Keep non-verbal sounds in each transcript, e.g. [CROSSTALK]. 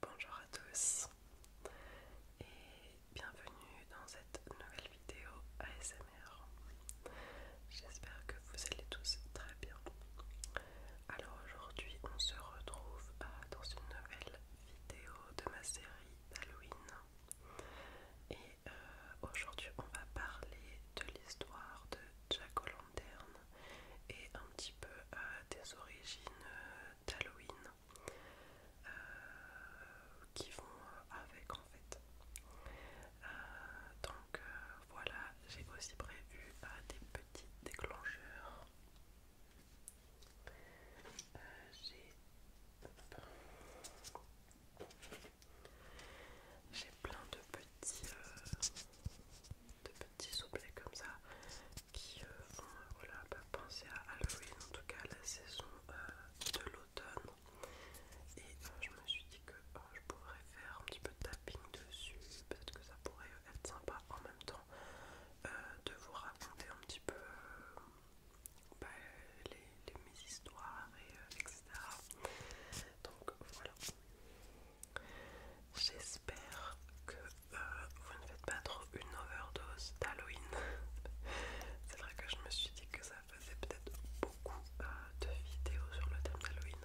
Bonjour à tous et bienvenue dans cette nouvelle vidéo ASMR. J'espère que vous allez tous très bien. Alors aujourd'hui on se retrouve euh, dans une nouvelle vidéo de ma série d'Halloween et euh, aujourd'hui on va parler de l'histoire de Jack et un petit peu euh, des origines euh, d'Halloween euh, qui vont avec en fait. donc voilà, j'ai aussi prévu des petites déclencheurs. J'ai plein de petits, euh, petits comme ça qui font euh, euh, penser à Halloween, en tout cas la saison de l'automne. Et je me suis dit que oh, je pourrais faire un petit peu de tapping dessus, peut-être que ça pourrait être sympa en même temps de vous raconter un petit peu bah, les, mes histoires, et, etc. Donc voilà, J'espère que euh, vous ne faites pas trop une overdose d'Halloween. [LAUGHS] C'est vrai que je me suis dit que ça faisait peut-être beaucoup euh, de vidéos sur le thème d'Halloween.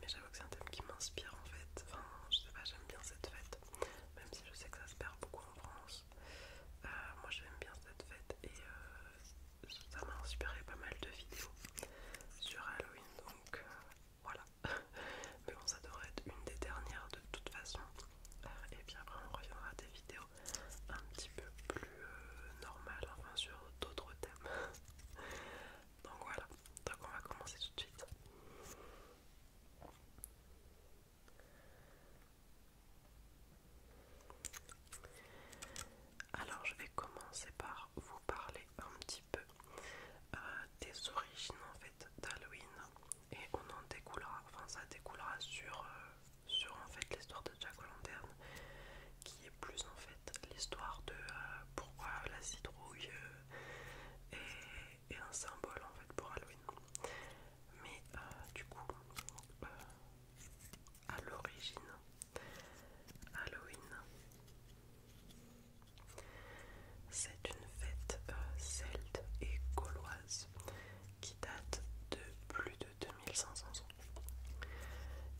Mais j'avoue que c'est un thème qui m'inspire en fait. Enfin, je sais pas, j'aime bien cette fête. Même si je sais que ça se perd beaucoup en France. Euh, moi j'aime bien cette fête et ça m'a inspiré pas mal de vidéos sur Halloween donc euh, voilà [LAUGHS] mais bon ça devrait être une des dernières de toute façon euh, et puis après on reviendra à des vidéos un petit peu plus euh, normales enfin sur d'autres thèmes [LAUGHS] donc voilà donc on va commencer tout de suite alors je vais commencer par vous parler un petit peu euh, des origines en fait d'Halloween et on en découlera, ça découlera euh, sur, en fait l'histoire de Jack O'Lantern qui est plus en fait l'histoire de euh, pourquoi la citrouille est, un symbole en fait pour Halloween. Mais du coup, à l'origine Halloween. C'est une fête euh, celte et gauloise qui date de plus de 2500 ans.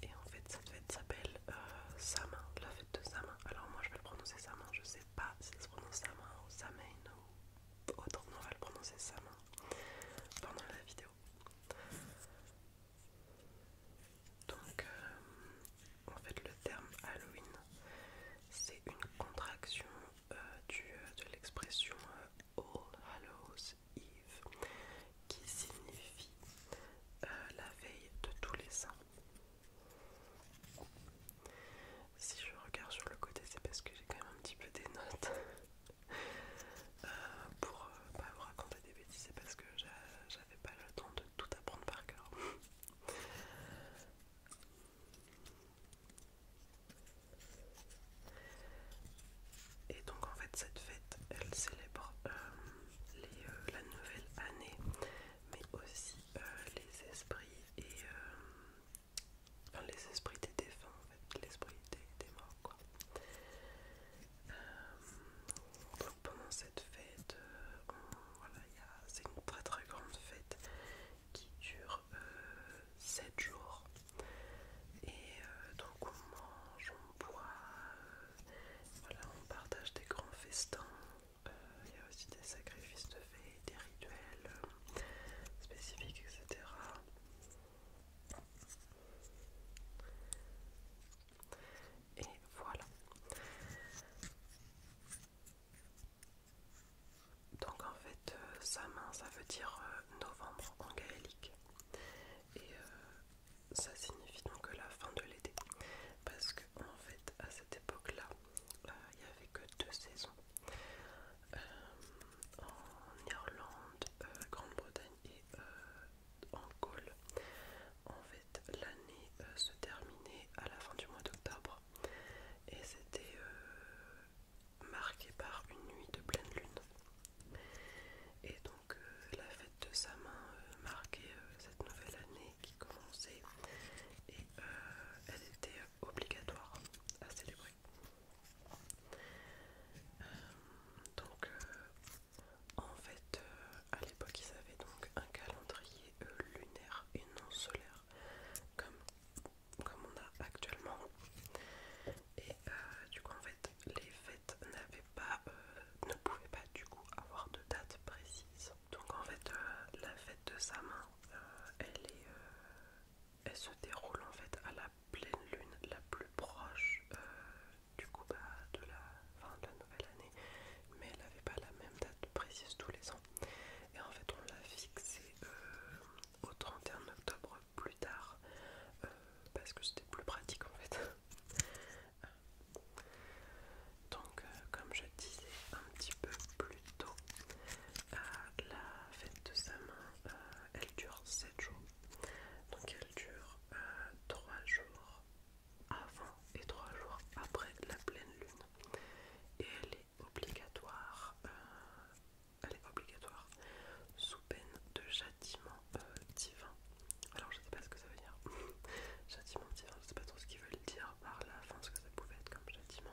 Et en fait, cette fête s'appelle euh, Sama, la fête de Samain. Alors, moi je vais le prononcer Samin, je sais pas si ça se prononce Samin ou Samain ou autre. On va le prononcer Samin pendant la vidéo. Donc, euh, en fait, le terme Halloween, c'est une contraction euh, euh, de l'expression All Hallows Eve, qui signifie la veille de tous les saints. Si je regarde sur le côté, c'est parce que j'ai quand même un petit peu des notes [LAUGHS] pour vous raconter des c'est parce que j'avais pas le temps de tout apprendre par cœur. Et donc en fait cette fête, elle célèbre euh, euh, la nouvelle année, mais aussi euh, les esprits et les esprits des défunts, en fait, l'esprit des, des morts quoi. Euh, pendant cette fête, euh, c'est une très très grande fête qui dure 7 euh, jours. Et donc on mange, on boit, on partage des grands festins. Il y a aussi des sacrifices de fées, des rituels spécifiques, etc. Et voilà. Donc en fait, euh, main, ça veut dire euh, novembre en gaélique. Et euh, ça signifie donc la fin de l'été. Parce que en fait, à cette époque-là, il n'y avait que deux saisons. en Irlande, Grande-Bretagne et en colle En fait, l'année euh, se terminait à la fin du mois d'octobre et c'était euh, marqué par une nuit de pleine lune. Et donc, euh, la fête de sa main marquait cette nouvelle année qui commençait et elle était obligatoire à célébrer. donc, en fait, euh, à l'époque, ils avaient donc un calendrier euh, lunaire et non solaire, comme, comme on a actuellement. Et euh, du coup, en fait, les fêtes n'avaient pas, ne pouvaient pas du coup avoir de date précise. Donc, en fait, la fête de sa main, elle est, elle se déroule en fait à la pleine lune la plus proche euh, du coup bah, de, la, fin de la nouvelle année, mais elle n'avait pas la même date précise tous les ans. Et en fait, on l'a fixée euh, au 31 octobre plus tard euh, parce que c'était plus pratique en fait. [LAUGHS] Donc, comme je disais un petit peu plus tôt, la fête de sa main elle dure 7 jours. Donc, elle dure euh, trois jours avant et trois jours après la pleine lune et elle est obligatoire euh, elle est obligatoire sous peine de châtiment euh, divin alors je sais pas ce que ça veut dire [LAUGHS] châtiment divin je sais pas trop ce qu'ils veulent dire par là fin ce que ça pouvait être comme châtiment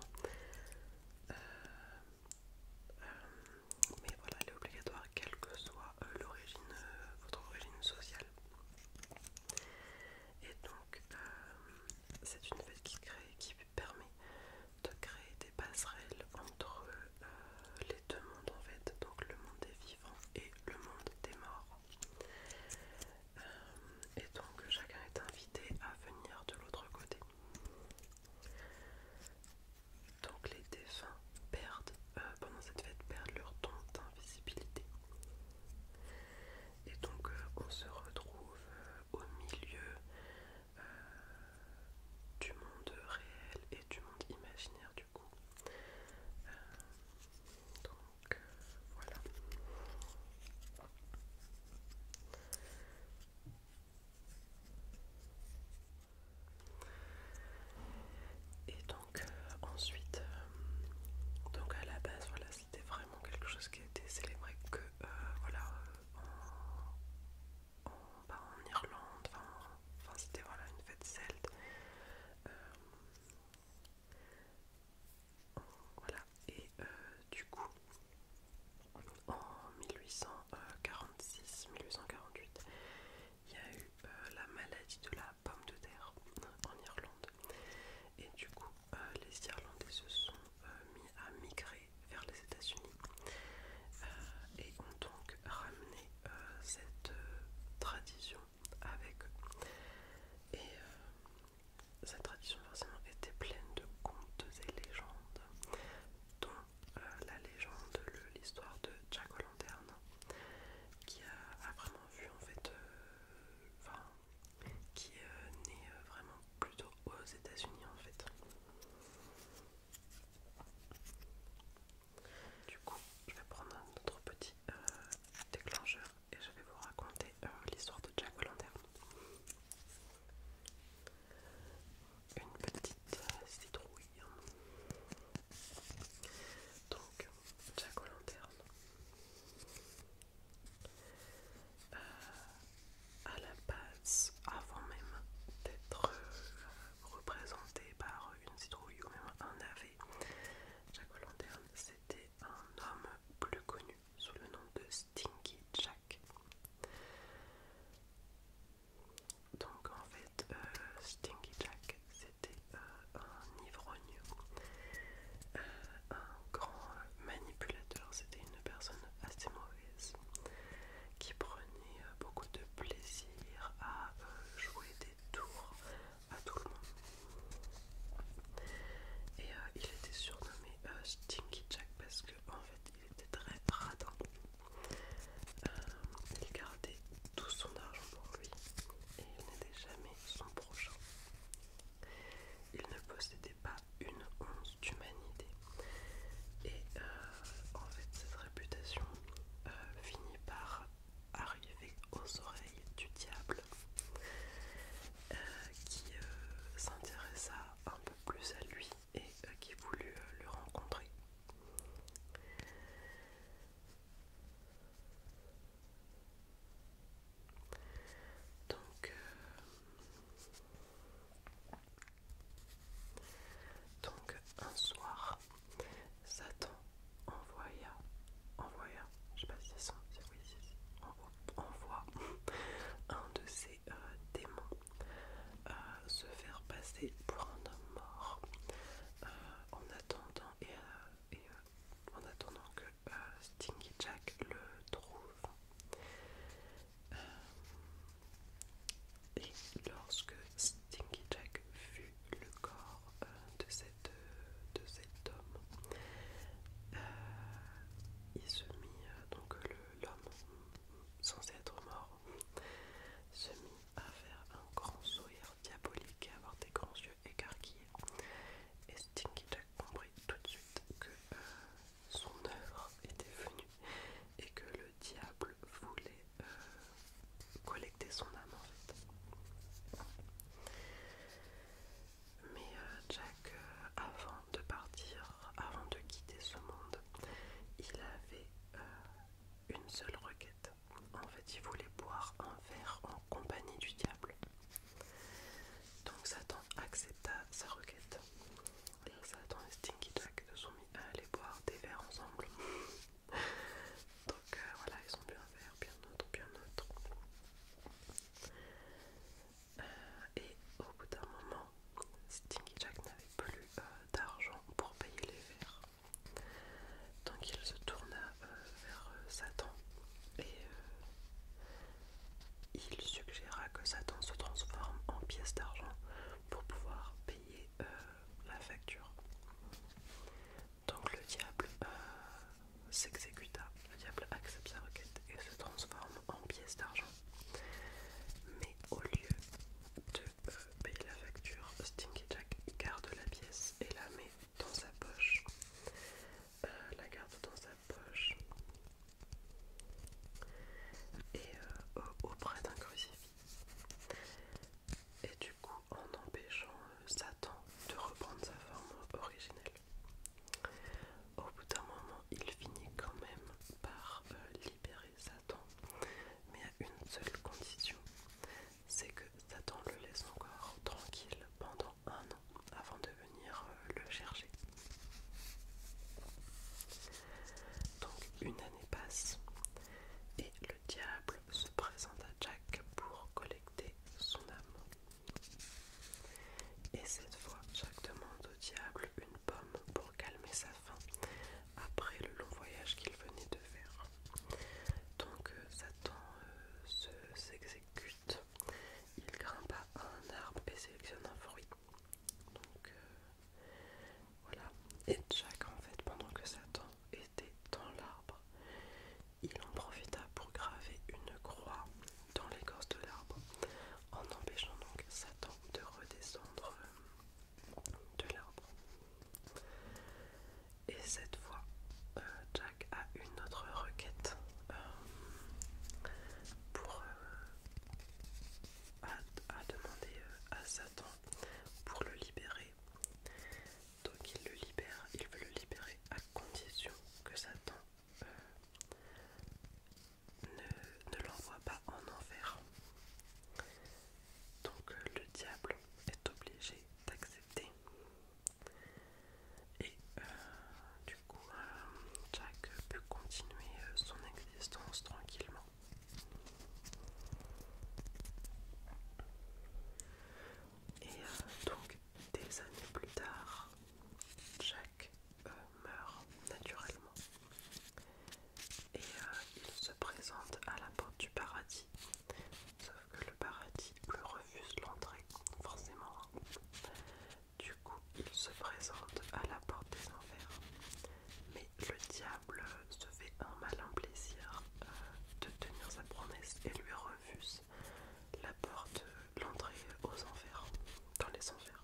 mais voilà, elle est obligatoire quelle que soit euh, l'origine, euh, votre origine sociale. Et donc, euh, c'est une fête qui, crée, qui permet de créer des passerelles entre les deux mondes en fait, donc le monde des vivants et le monde des morts. et donc, chacun est invité à venir de l'autre côté. Donc les défunts perdent, euh, pendant cette fête, perdent leur temps d'invisibilité. Et donc euh, on se retrouve euh, au milieu du monde réel et du monde imaginaire du coup. donc voilà. Et donc euh, ensuite, euh, donc à la base, voilà, c'était vraiment quelque chose qui a été célébré que euh, voilà bah, en, Irlande, enfin c'était une fête celte. voilà, et du coup, en 1846-1848, il y a eu euh, la maladie de la pomme de terre en Irlande. Et du coup, euh, les Irlandais se sont euh, mis à migrer vers les États-Unis et ont donc ramené cette tradition avec eux. Et cette tradition, forcément, était pleine de contes et légendes, dont la légende, l'histoire de Jack qui a, vraiment vu en fait euh, qui est euh, né euh, vraiment plutôt aux États-Unis en fait. Du coup, je vais prendre notre petit déclencheur et je vais vous raconter l'histoire de Jack O'Lantern. Une petite citrouille hein. Donc, Jack O euh, à la base, avant même d'être euh, représenté par une citrouille ou même un ave, Jack Lantern, c'était un homme plus connu sous le nom de Stinky Jack. Donc en fait, euh, Stinky Jack, c'était euh, un ivrogne, euh, un grand manipulateur, c'était une personne assez mauvaise qui prenait beaucoup de plaisir à jouer des tours à tout le monde. Et il était surnommé Stinky Jack parce qu'en fait, il était très radin il euh, gardait tout son argent pour lui et il n'était jamais son prochain. Il ne possédait pas une once d'humanité. Et euh, en fait, cette réputation euh, finit par arriver aux oreilles du diable qui s'intéressa un peu plus à lui et euh, qui voulut euh, le rencontrer. Donc, euh, donc un soir, Satan envoya, envoya, je sais pas si c'est son, oui, envoie, [LAUGHS] un de ses démons euh, se faire passer pour un homme mort euh, en attendant et, euh, en attendant que Stinky Jack le trouve. et lorsque Stinky Jack fut le corps de, cette, de cet homme, il se mit, donc l'homme censé être mort, se mit à faire un grand sourire diabolique et avoir des grands yeux écarquillés. Et Stinky Jack comprit tout de suite que euh, son œuvre était venue et que le diable voulait euh, collecter son âme en fait. Mais euh, Jack, avant de partir, avant de quitter ce monde, il avait une seule requête. En fait, il voulait boire un verre en compagnie du diable. Donc Satan accepta sa requête. Satan et Stinky Jack se sont mis à aller boire des verres ensemble. [LAUGHS] Donc euh, voilà, ils ont bu un verre, bien un autre, puis un autre. Euh, et au bout d'un moment, Stingy Jack n'avait plus euh, d'argent pour payer les verres. Donc il se tourna euh, vers euh, Satan et il suggéra que Satan se transforme en pièce d'argent pour pouvoir payer la facture. Donc le diable s'exécuta, le diable accepte sa requête et se transforme en pièce d'argent. Mais au lieu de payer la facture, Stinky Jack garde la pièce et la met dans sa poche. Euh, la garde dans sa poche. Et euh, auprès d'un crucifix. Et du coup, en empêchant euh, Satan de reprendre sa forme originelle. Au bout d'un moment, il finit quand même par libérer Satan, mais à une seule condition, c'est que Satan le laisse encore tranquille pendant un an avant de venir euh, le chercher. Donc une année passe et le diable se présente à Jack pour collecter son âme. Et cette fois, Jack demande au diable une pomme pour calmer sa faim après le long voyage qu'il venait de faire. Donc euh, Satan euh, s'exécute. Il grimpa à un arbre et sélectionne un fruit. Donc euh, voilà. Et Jack en fait pendant que Satan était dans l'arbre, il en profita pour graver une croix dans l'écorce de l'arbre en empêchant donc Satan de redescendre de l'arbre. Et cette fois, euh, Jack a une autre requête euh, pour euh, à, demander à Satan pour le libérer. Donc il le libère, il veut le libérer à condition que Satan ne, l'envoie pas en enfer. Donc euh, le diable est obligé d'accepter. Et euh, du coup, euh, Jack peut continuer son existence tranquillement. Et donc, des années plus tard, Jack meurt naturellement. Et euh, il se présente à la porte du paradis. Sauf que le paradis lui refuse l'entrée, forcément. Hein. Du coup, il se présente à la porte des enfers. Mais le diable se fait un malin plaisir euh, de tenir sa promesse et lui refuse la porte, l'entrée aux enfers, dans les enfers.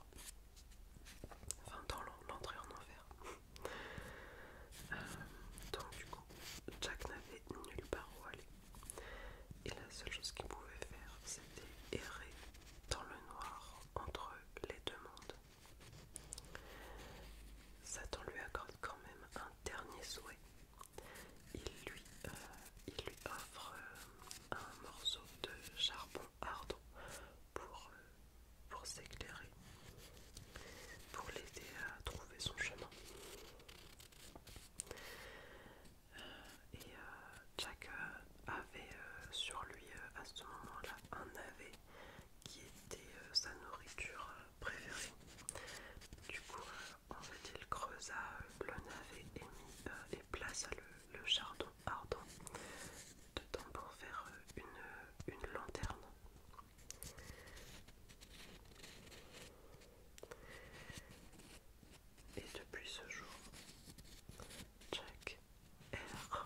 Enfin, dans l'entrée en enfer. [LAUGHS] Euh, donc, du coup, Jack n'avait nulle part où aller. Et la seule chose qu'il pouvait faire, c'était errer dans le noir entre les deux mondes. Satan lui accorde quand même un dernier souhait. Il lui, euh, offre euh, un morceau de charbon ardent pour, euh, pour s'éclairer, pour l'aider à trouver son chemin. Euh, et euh, Jack avait sur lui à ce moment-là un navet qui était sa nourriture préférée. Du coup, en fait, il creusa le navet et, mit, les places à le le, jardin chardon ardent dedans pour faire euh, euh, une, lanterne. Et depuis ce jour, Jack erre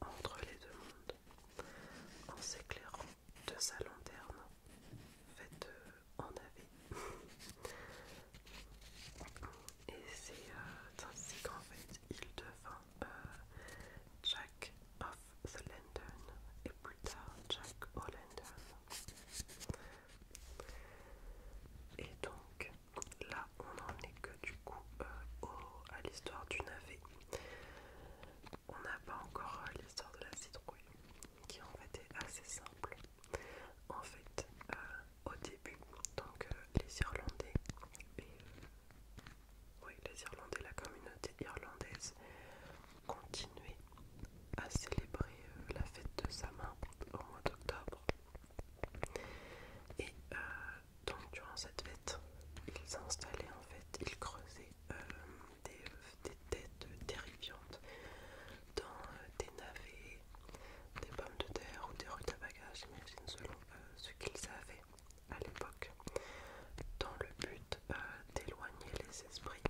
entre les deux mondes en s'éclairant de sa lanterne faite euh, en avait. [LAUGHS] Et c'est ainsi qu'en fait il devint euh, Jack of the London, et plus tard Jack Et donc là on n'en est que du coup euh, à l'histoire du navet. On n'a pas encore euh, l'histoire de la citrouille qui en fait est assez simple. En fait, au début, donc euh, les Irlandais euh, les Irlandais, la communauté irlandaise continuait à célébrer euh, la fête de sa au mois d'octobre. Et donc durant cette fête, ils installaient en fait, ils creusaient des, têtes terrifiantes dans des navets, des pommes de terre ou des bagages j'imagine selon euh, ce qu'ils avaient à l'époque dans le but euh, d'éloigner les esprits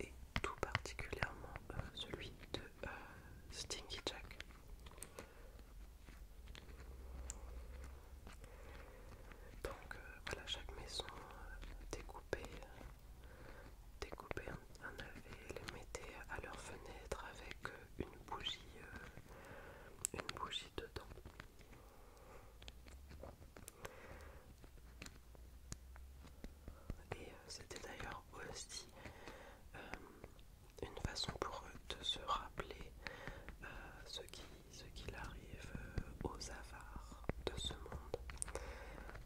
et tout particulièrement euh, celui de Stinky Jack. Donc voilà, chaque maison découpée découpait, les mettait à leur fenêtre avec une bougie euh, une bougie dedans et euh, c'était d'ailleurs aussi euh, une façon pour eux de se rappeler ce qu'il ce qui arrive aux avares de ce monde,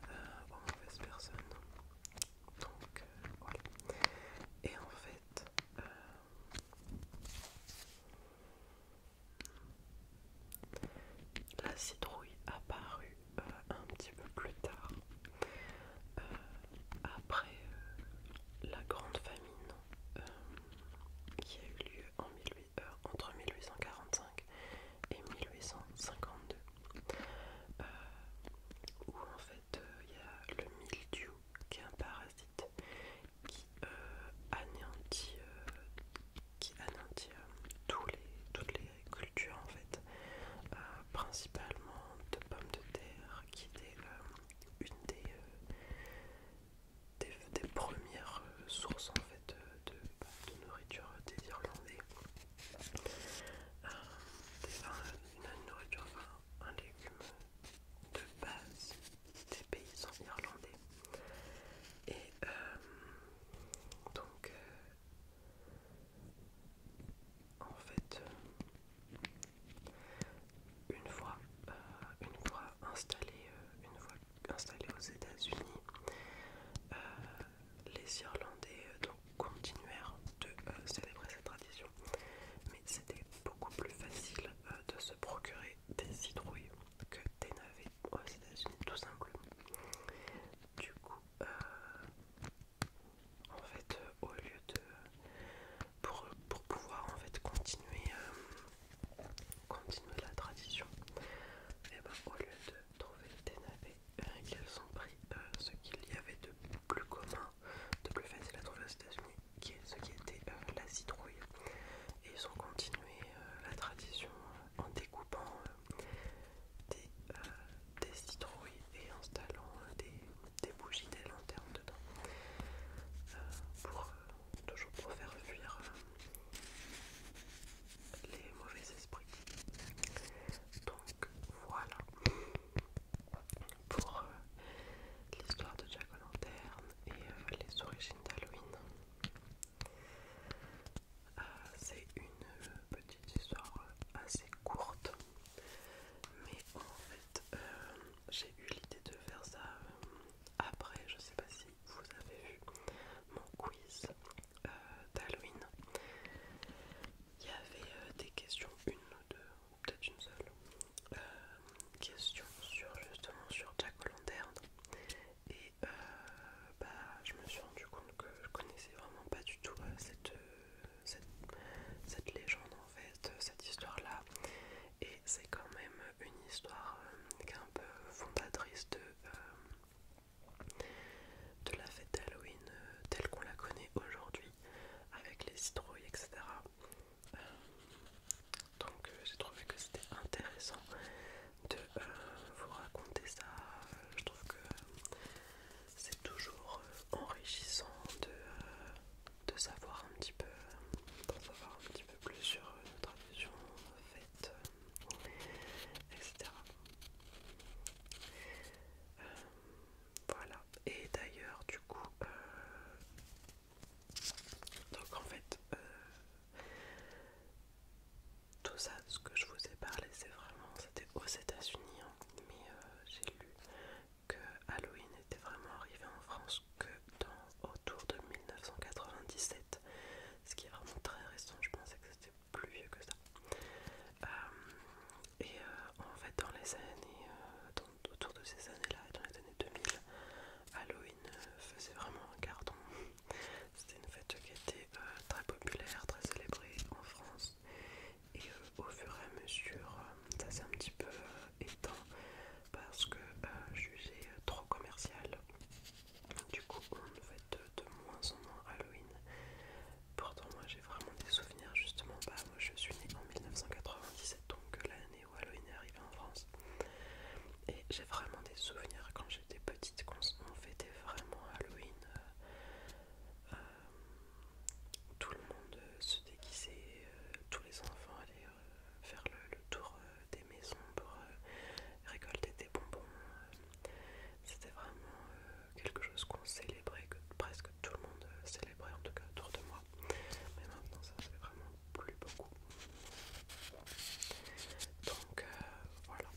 en mauvaise personne Donc voilà. Et en fait, euh, la citrouille apparut euh, un petit peu plus tard, euh, après la grande famine qui a eu lieu en entre 1845 et 1852, où en fait euh, il y a le mildiou qui est un parasite qui euh, anéantit, euh, les, toutes les cultures en fait, principalement de pommes de terre, qui est une des, premières sources en fait de, bah, nourriture des Irlandais. nourriture un légume de base des paysans irlandais. Et euh, donc, euh, en fait, euh, une fois, euh, une fois une fois aux États-Unis, les Irlandais, continuèrent de euh, célébrer cette tradition, mais c'était beaucoup plus facile euh, de se procurer des citrouilles que des navets aux États-Unis, tout simplement. Du coup, euh, en fait, au lieu de pour, pour pouvoir en fait continuer, continuer la tradition, et eh ben, au lieu de trouver des navets, ont pris ce qu'il y avait de plus commun de plus facile à trouver aux États-Unis, qui est ce qui était euh, la citrouille. Et ils ont continué euh, la tradition euh, en découpant des, citrouilles et installant des, bougies, des lanternes dedans, pour toujours faire fuir les mauvais esprits. Donc voilà pour euh, l'histoire de Jack O'Lantern et euh, les origines d'Halloween. Euh, c'est une petite histoire assez courte, mais en fait, j'ai eu l'idée de faire ça après. Je sais pas si vous avez vu mon quiz d'Halloween. Il y avait des questions, une ou deux, peut-être une seule euh, question sur justement sur Jack O'Lantern et euh, bah, je me suis rendu compte que je connaissais vraiment pas du tout euh, cette, cette, légende en fait, cette histoire là et c'est quand même une histoire qui est un peu fondatrice de, de la fête d'Halloween telle qu'on la connaît aujourd'hui avec les citrouilles, etc. Euh, donc euh, j'ai trouvé que c'était intéressant de euh, vous raconter ça. je trouve que c'est toujours enrichissant de, savoir un petit peu, un peu plus sur notre nos faite, etc. Voilà. Et d'ailleurs, du coup, euh, donc en fait, euh, tout ça, ce que je vous ai parlé, c'est vraiment, c'était aux États-Unis, hein, mais euh, j'ai lu que Halloween était vraiment arrivé en France que dans autour de 1997, ce qui est vraiment très récent. Je pensais que c'était plus vieux que ça. Et euh, en fait, dans les années, euh, autour de ces années-là, dans les années 2000, Halloween euh, faisait vraiment un carton. [LAUGHS] C'était une fête qui était très populaire, très célébrée en France. Et au fur et à mesure, ça s'est un petit peu éteint parce que je suis trop commercial. Du coup, on fête de moins en moins Halloween. Pourtant, moi j'ai vraiment des souvenirs, justement. Bah, moi je suis née en 1997, donc euh, l'année où Halloween est arrivée en France. Et j'ai vraiment des souvenirs quand j'étais petite, qu'on fêtait vraiment Halloween. Euh, euh, tout le monde se déguisait, tous les enfants allaient faire le, tour des maisons pour récolter des bonbons. C'était vraiment. Euh, quelque chose qu'on célébrait, que presque tout le monde euh, célébrait, en tout cas autour de moi. Mais maintenant, ça c'est vraiment plus beaucoup. Donc euh, voilà.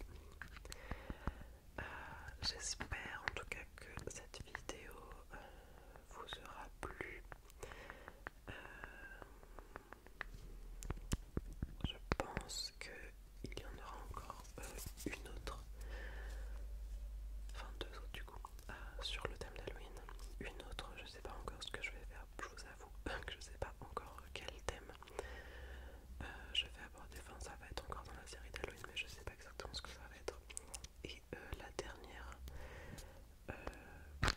J'espère en tout cas que cette vidéo vous aura plu. je pense qu'il y en aura encore euh, une autre, enfin deux autres du coup, euh, sur le thème d'Halloween. Une autre, je sais pas encore ce que je vais faire, je vous avoue [LAUGHS] que je sais pas encore quel thème euh, je vais aborder, enfin ça va être encore dans la série d'Halloween, mais je sais pas exactement ce que ça va être. Et la dernière,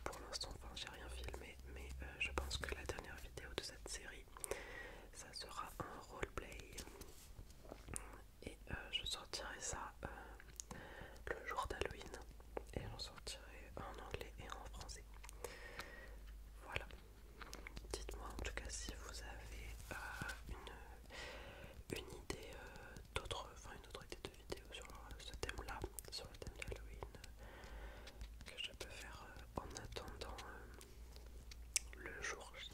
pour l'instant, enfin j'ai rien filmé, mais je pense que la dernière vidéo de cette série, ça sera un roleplay et euh, je sortirai ça euh, le jour d'Halloween et j'en sortirai en anglais et en français. Voilà. Dites-moi en tout cas si vous avez euh, une, une idée d'autres, enfin une autre idée de vidéo sur ce thème-là, sur le thème d'Halloween que je peux faire en attendant le jour J.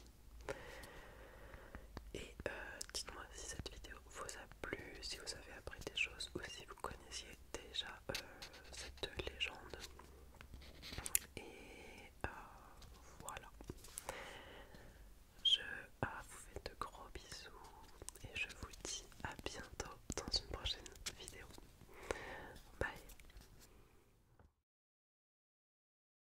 Et euh, dites-moi si cette vidéo vous a plu, si vous avez appris des choses ou si vous connaissiez déjà euh, cette légende. Et euh, voilà. Je ah, vous fais de gros bisous et je vous dis à bientôt dans une prochaine vidéo. Bye